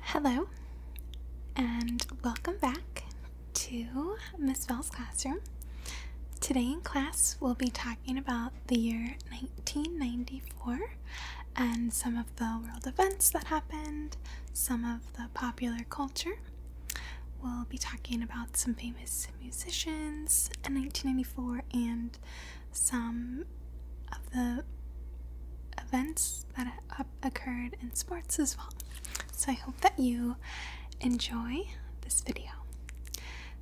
Hello, and welcome back to Miss Bell's classroom. Today in class, we'll be talking about the year 1994 and some of the world events that happened, some of the popular culture. We'll be talking about some famous musicians in 1994 and some of the events that occurred in sports as well. So I hope that you enjoy this video.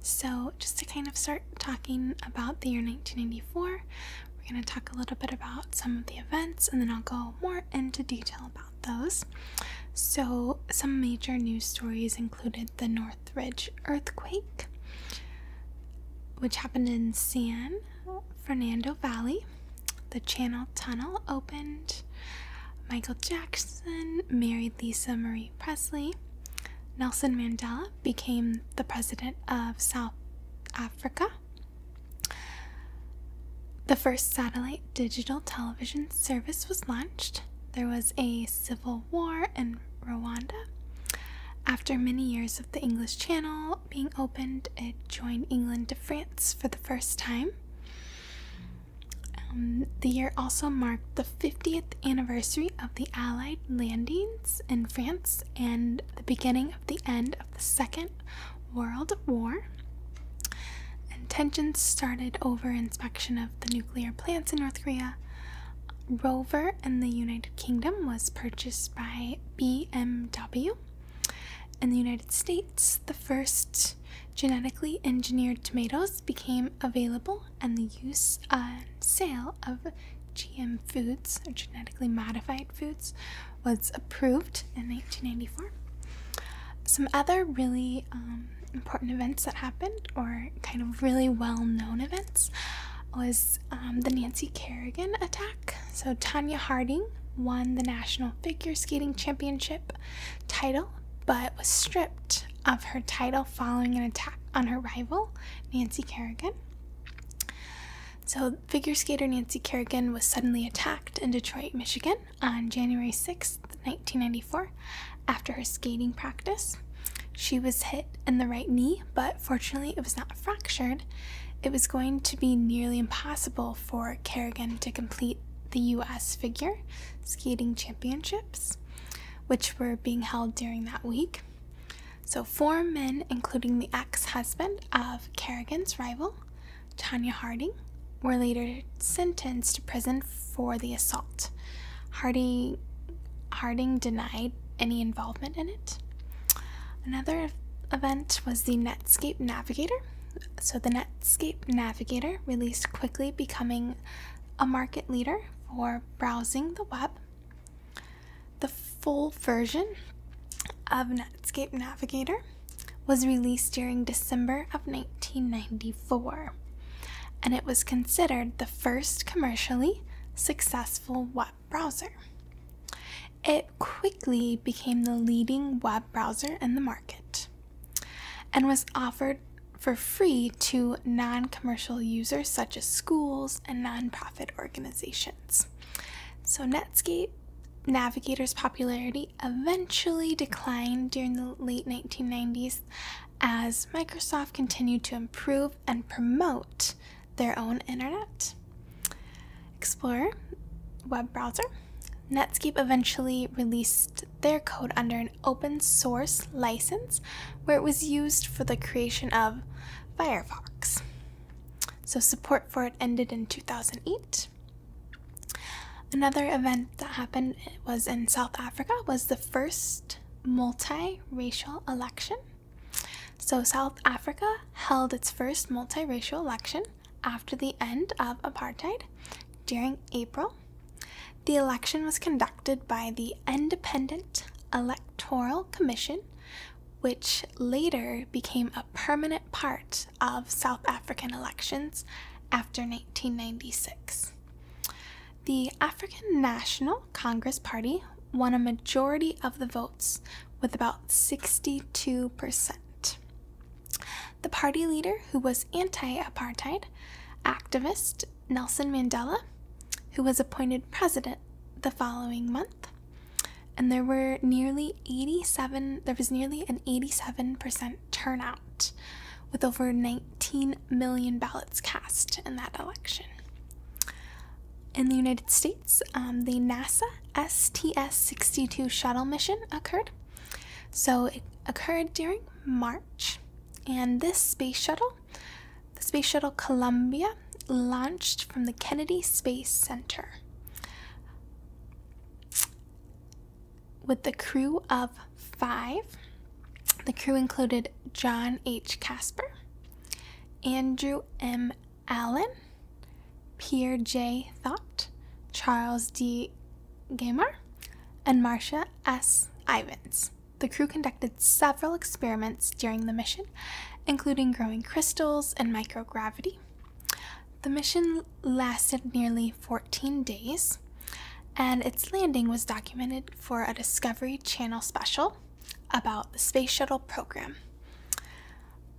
So, just to kind of start talking about the year 1994, we're going to talk a little bit about some of the events and then I'll go more into detail about those. So, some major news stories included the Northridge earthquake, which happened in San Fernando Valley. The Channel Tunnel opened. Michael Jackson married Lisa Marie Presley. Nelson Mandela became the president of South Africa. The first satellite digital television service was launched. There was a civil war in Rwanda. After many years of the English Channel, being opened, it joined England to France for the first time. Um, the year also marked the 50th anniversary of the Allied landings in France and the beginning of the end of the Second World War. And tensions started over inspection of the nuclear plants in North Korea. Rover in the United Kingdom was purchased by BMW. In the United States, the first genetically engineered tomatoes became available, and the use and uh, sale of GM foods, or genetically modified foods, was approved in 1994. Some other really um, important events that happened, or kind of really well known events, was um, the Nancy Kerrigan attack. So Tanya Harding won the National Figure Skating Championship title, but was stripped of her title following an attack on her rival, Nancy Kerrigan. So, figure skater Nancy Kerrigan was suddenly attacked in Detroit, Michigan on January 6, 1994, after her skating practice. She was hit in the right knee, but fortunately, it was not fractured. It was going to be nearly impossible for Kerrigan to complete the U.S. figure skating championships, which were being held during that week. So, four men, including the ex husband of Kerrigan's rival, Tanya Harding, were later sentenced to prison for the assault. Harding, Harding denied any involvement in it. Another event was the Netscape Navigator. So, the Netscape Navigator released quickly, becoming a market leader for browsing the web. The full version of Netscape Navigator was released during December of 1994, and it was considered the first commercially successful web browser. It quickly became the leading web browser in the market and was offered for free to non commercial users such as schools and nonprofit organizations. So, Netscape Navigator's popularity eventually declined during the late 1990s as Microsoft continued to improve and promote their own internet. Explorer, web browser. Netscape eventually released their code under an open source license where it was used for the creation of Firefox. So support for it ended in 2008. Another event that happened was in South Africa was the first multi multi-racial election so, South Africa held its first multiracial election after the end of apartheid during April. The election was conducted by the Independent Electoral Commission, which later became a permanent part of South African elections after 1996. The African National Congress Party won a majority of the votes with about 62%. The party leader, who was anti apartheid, activist Nelson Mandela, who was appointed president the following month, and there were nearly 87 there was nearly an 87% turnout with over 19 million ballots cast in that election. In the United States, um, the NASA STS 62 shuttle mission occurred. So it occurred during March, and this space shuttle, the space shuttle Columbia, launched from the Kennedy Space Center with the crew of five. The crew included John H. Casper, Andrew M. Allen, Pierre J. Thott, Charles D. Gamer, and Marcia S. Ivans. The crew conducted several experiments during the mission, including growing crystals in microgravity. The mission lasted nearly 14 days, and its landing was documented for a Discovery Channel special about the space shuttle program.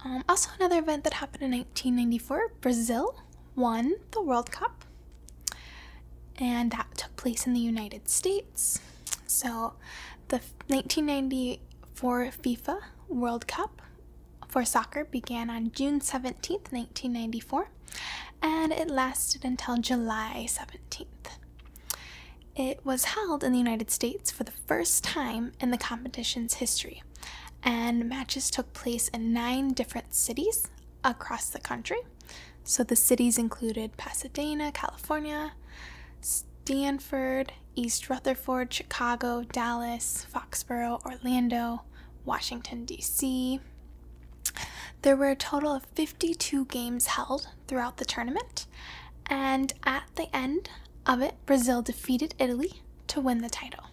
Um, also, another event that happened in 1994 Brazil won the World Cup, and that took place in the United States. So, the 1994 FIFA World Cup for soccer began on June 17th, 1994, and it lasted until July 17th. It was held in the United States for the first time in the competition's history, and matches took place in nine different cities across the country. So the cities included Pasadena, California, Stanford, East Rutherford, Chicago, Dallas, Foxborough, Orlando, Washington, D.C. There were a total of. 52 games held throughout the tournament, and at the end of it, Brazil defeated Italy to win the title.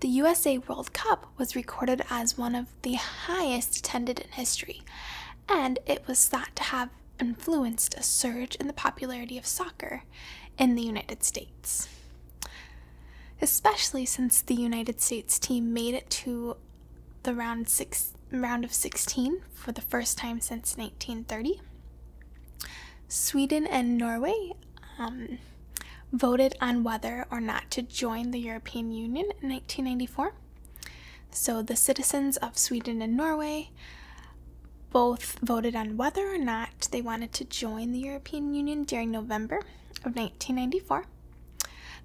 The USA World Cup was recorded as one of the highest attended in history, and it was thought to have influenced a surge in the popularity of soccer in the United States. Especially since the United States team made it to the round six round of 16 for the first time since 1930. Sweden and Norway um, voted on whether or not to join the European Union in 1994. So the citizens of Sweden and Norway both voted on whether or not they wanted to join the European Union during November of 1994.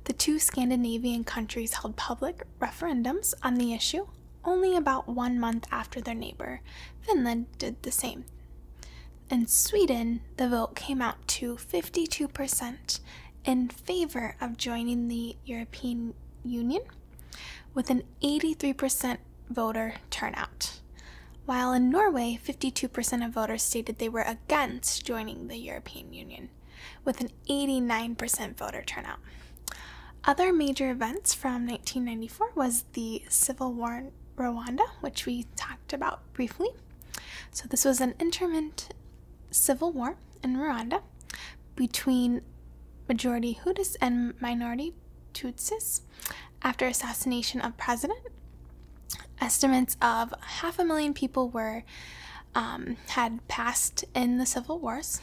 The two Scandinavian countries held public referendums on the issue only about one month after their neighbor, Finland, did the same. In Sweden, the vote came out to 52% in favor of joining the European Union, with an 83% voter turnout, while in Norway, 52% of voters stated they were against joining the European Union with an 89% voter turnout. Other major events from 1994 was the civil war in Rwanda, which we talked about briefly. So, this was an interment civil war in Rwanda between majority Hutus and minority Tutsis after assassination of president. Estimates of half a million people were um, had passed in the Civil Wars.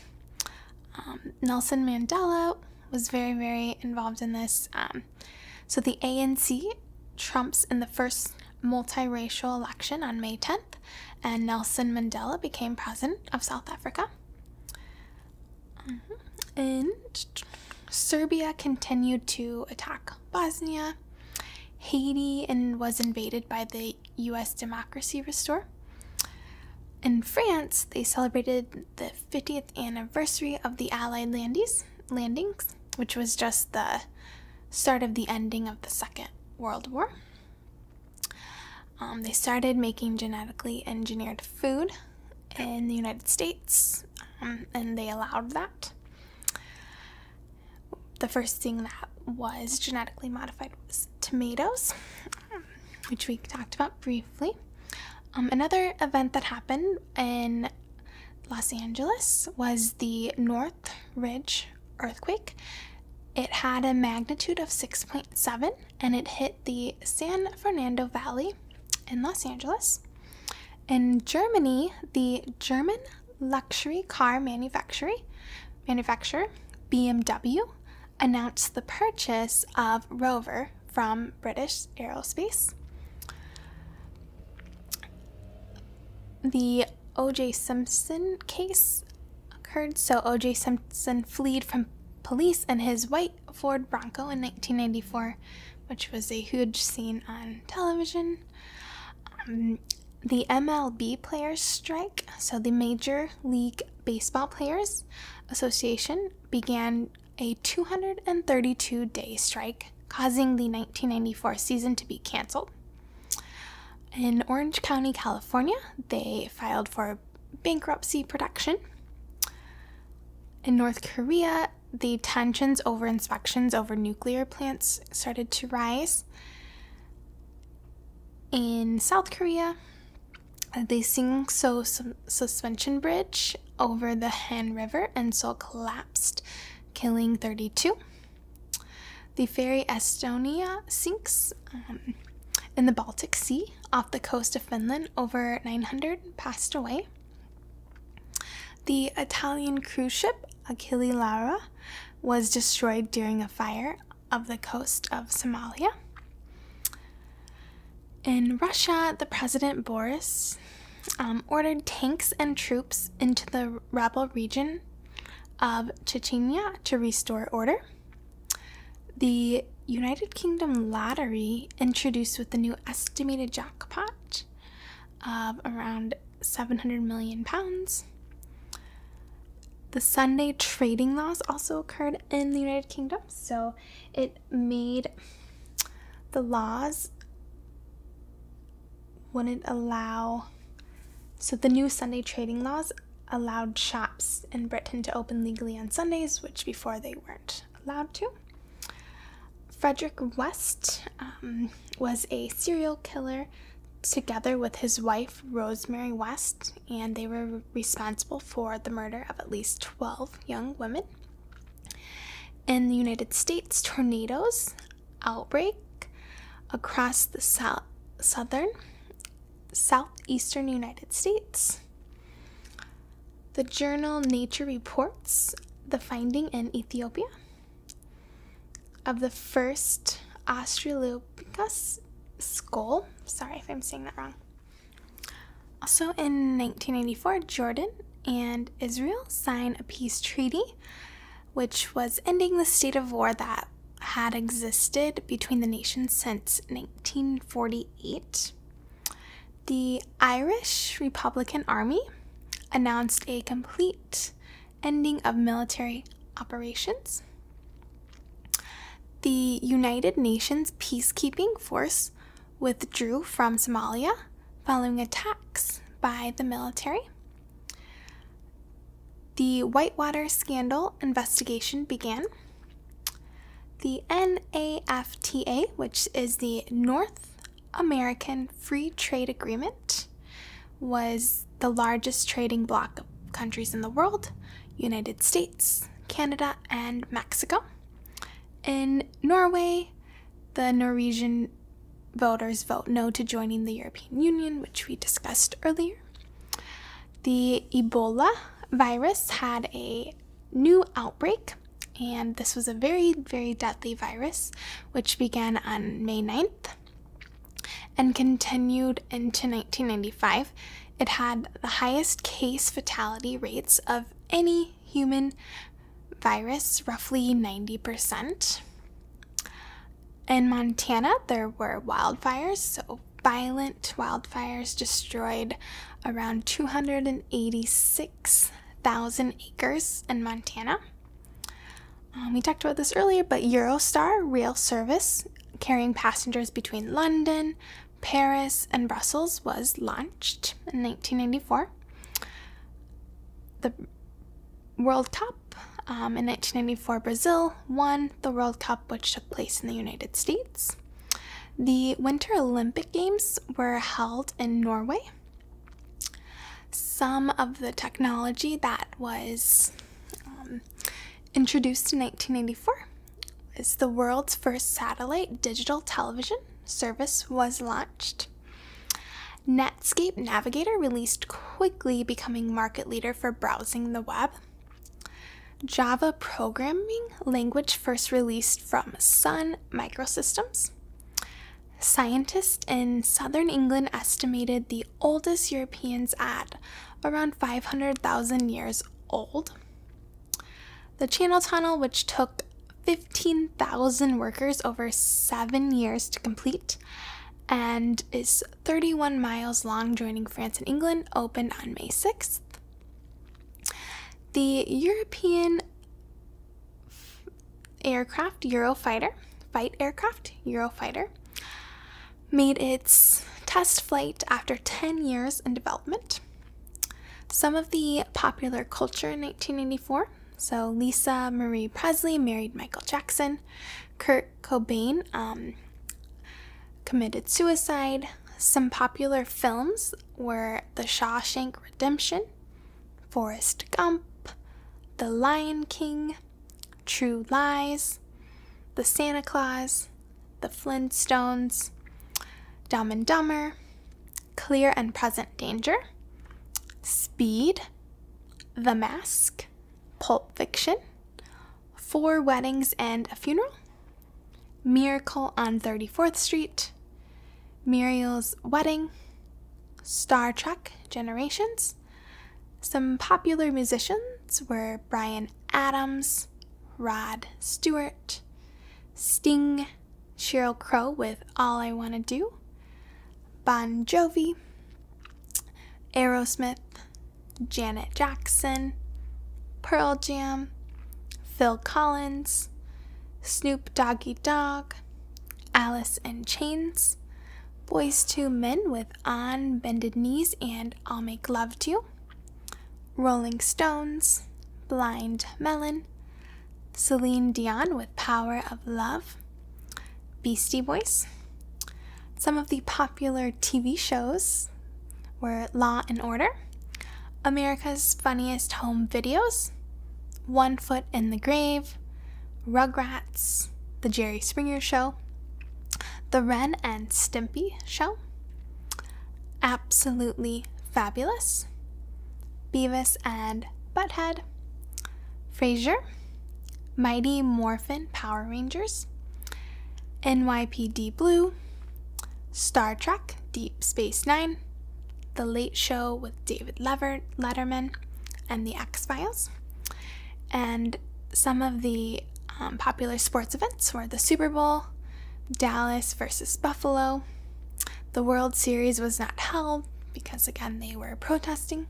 Um, Nelson Mandela was very, very involved in this. Um, so the ANC trumps in the first multiracial election on May 10th, and Nelson Mandela became president of South Africa. Mm-hmm. And Serbia continued to attack Bosnia. Haiti and was invaded by the US democracy restore. In France, they celebrated the 50th anniversary of the Allied landies, landings, which was just the start of the ending of the Second World War. Um, they started making genetically engineered food in the United States, um, and they allowed that the first thing that was genetically modified was tomatoes, um, which we talked about briefly. Um, another event that happened in Los Angeles was the North Ridge earthquake. It had a magnitude of 6.7 and it hit the San Fernando Valley in Los Angeles. In Germany, the German luxury car manufacturer BMW announced the purchase of Rover from British Aerospace. The O.J. Simpson case occurred, so O.J. Simpson fled from police in his white Ford Bronco in 1994, which was a huge scene on television. Um, the MLB players strike, so the Major League Baseball Players Association began a 232 day strike, causing the 1994 season to be canceled. In Orange County, California, they filed for bankruptcy protection. In North Korea, the tensions over inspections over nuclear plants started to rise in South Korea, the sing so suspension bridge over the Han River and so collapsed, killing 32. The ferry Estonia sinks um, in the Baltic Sea off the coast of Finland. Over 900 passed away. The Italian cruise ship Achille Lara was destroyed during a fire of the coast of Somalia. In Russia, the President Boris um, ordered tanks and troops into the rebel region of Chechnya to restore order. The United Kingdom lottery, introduced with the new estimated jackpot of around 700 million pounds. The Sunday trading laws also occurred in the United Kingdom, so it made the laws wouldn't allow. So the new Sunday trading laws allowed shops in Britain to open legally on Sundays, which before they weren't allowed to. Frederick West um, was a serial killer together with his wife Rosemary West, and they were responsible for the murder of at least 12 young women. In the United States, tornadoes outbreak across the south, southern, southeastern United States. The journal Nature reports the finding in Ethiopia of the first Australopithecus skull. Sorry if I'm saying that wrong. Also in 1984, Jordan and Israel signed a peace treaty, which was ending the state of war that had existed between the nations since 1948. The Irish Republican Army announced a complete ending of military operations, the United Nations peacekeeping force withdrew from Somalia following attacks by the military. The Whitewater scandal investigation began. The NAFTA, which is the North American Free Trade Agreement, was the largest trading bloc of countries in the world United States, Canada, and Mexico. In Norway, the Norwegian voters vote no to joining the European Union, which we discussed earlier. The Ebola virus had a new outbreak, and this was a very, very deadly virus, which began on May 9th and continued into 1995. It had the highest case fatality rates of any human virus, roughly 90%. In Montana, there were wildfires, so violent wildfires destroyed around 286,000 acres in Montana. Um, we talked about this earlier, but Eurostar rail service carrying passengers between London, Paris, and Brussels was launched in 1994. The World Cup um, in 1994, Brazil won the World Cup, which took place in the United States. The Winter Olympic Games were held in Norway. Some of the technology that was um, introduced in 1984, as the world's first satellite digital television service was launched. Netscape Navigator released quickly, becoming market leader for browsing the web. Java programming language first released from Sun Microsystems. Scientists in southern England estimated the oldest Europeans at around 500,000 years old. The Channel Tunnel, which took 15,000 workers over seven years to complete and is 31 miles long, joining France and England, opened on May 6th. The European aircraft Eurofighter, fight aircraft Eurofighter, made its test flight after 10 years in development. Some of the popular culture in 1984 so Lisa Marie Presley married Michael Jackson, Kurt Cobain um, committed suicide. Some popular films were The Shawshank Redemption, Forrest Gump, The Lion King, True Lies, The Santa Claus, The Flintstones, Dumb and Dumber, Clear and Present Danger, Speed, The Mask, Pulp Fiction, Four Weddings and a Funeral, Miracle on 34th Street, Muriel's Wedding, Star Trek Generations, some popular musicians were Brian Adams, Rod Stewart, Sting, Cheryl Crow with All I Wanna Do, Bon Jovi, Aerosmith, Janet Jackson, Pearl Jam, Phil Collins, Snoop Doggy Dogg, Alice in Chains, Boys Two Men with on bended knees and I'll make love to you. Rolling Stones, Blind Melon, Celine Dion with Power of Love, Beastie Boys. Some of the popular TV shows were Law and Order, America's Funniest Home Videos, One Foot in the Grave, Rugrats, The Jerry Springer Show, The Ren and Stimpy Show, Absolutely Fabulous, Beavis and Butthead, Frasier, Mighty Morphin Power Rangers, NYPD Blue, Star Trek Deep Space Nine, The Late Show with David Letterman, and The X Files, and some of the um, popular sports events were the Super Bowl, Dallas versus Buffalo. The World Series was not held because, again, they were protesting.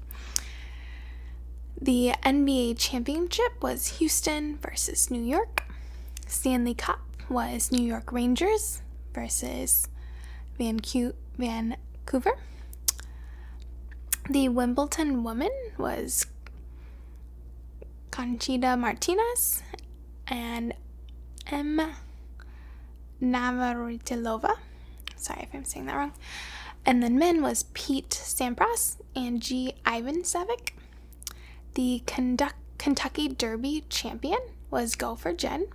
The NBA championship was Houston versus New York. Stanley Cup was New York Rangers versus Vancouver. The Wimbledon woman was Conchita Martinez and M. Navratilova. Sorry if I'm saying that wrong. And then men was Pete Sampras and G. Ivan The Kentucky Derby champion was Gopher Jen.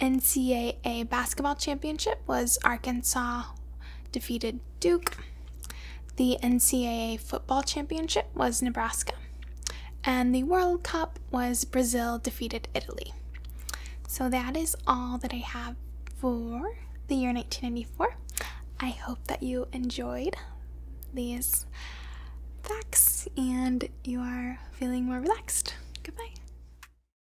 NCAA basketball championship was Arkansas defeated Duke. The NCAA football championship was Nebraska. And the World Cup was Brazil defeated Italy. So that is all that I have for the year 1994. I hope that you enjoyed these facts and you are feeling more relaxed. Goodbye.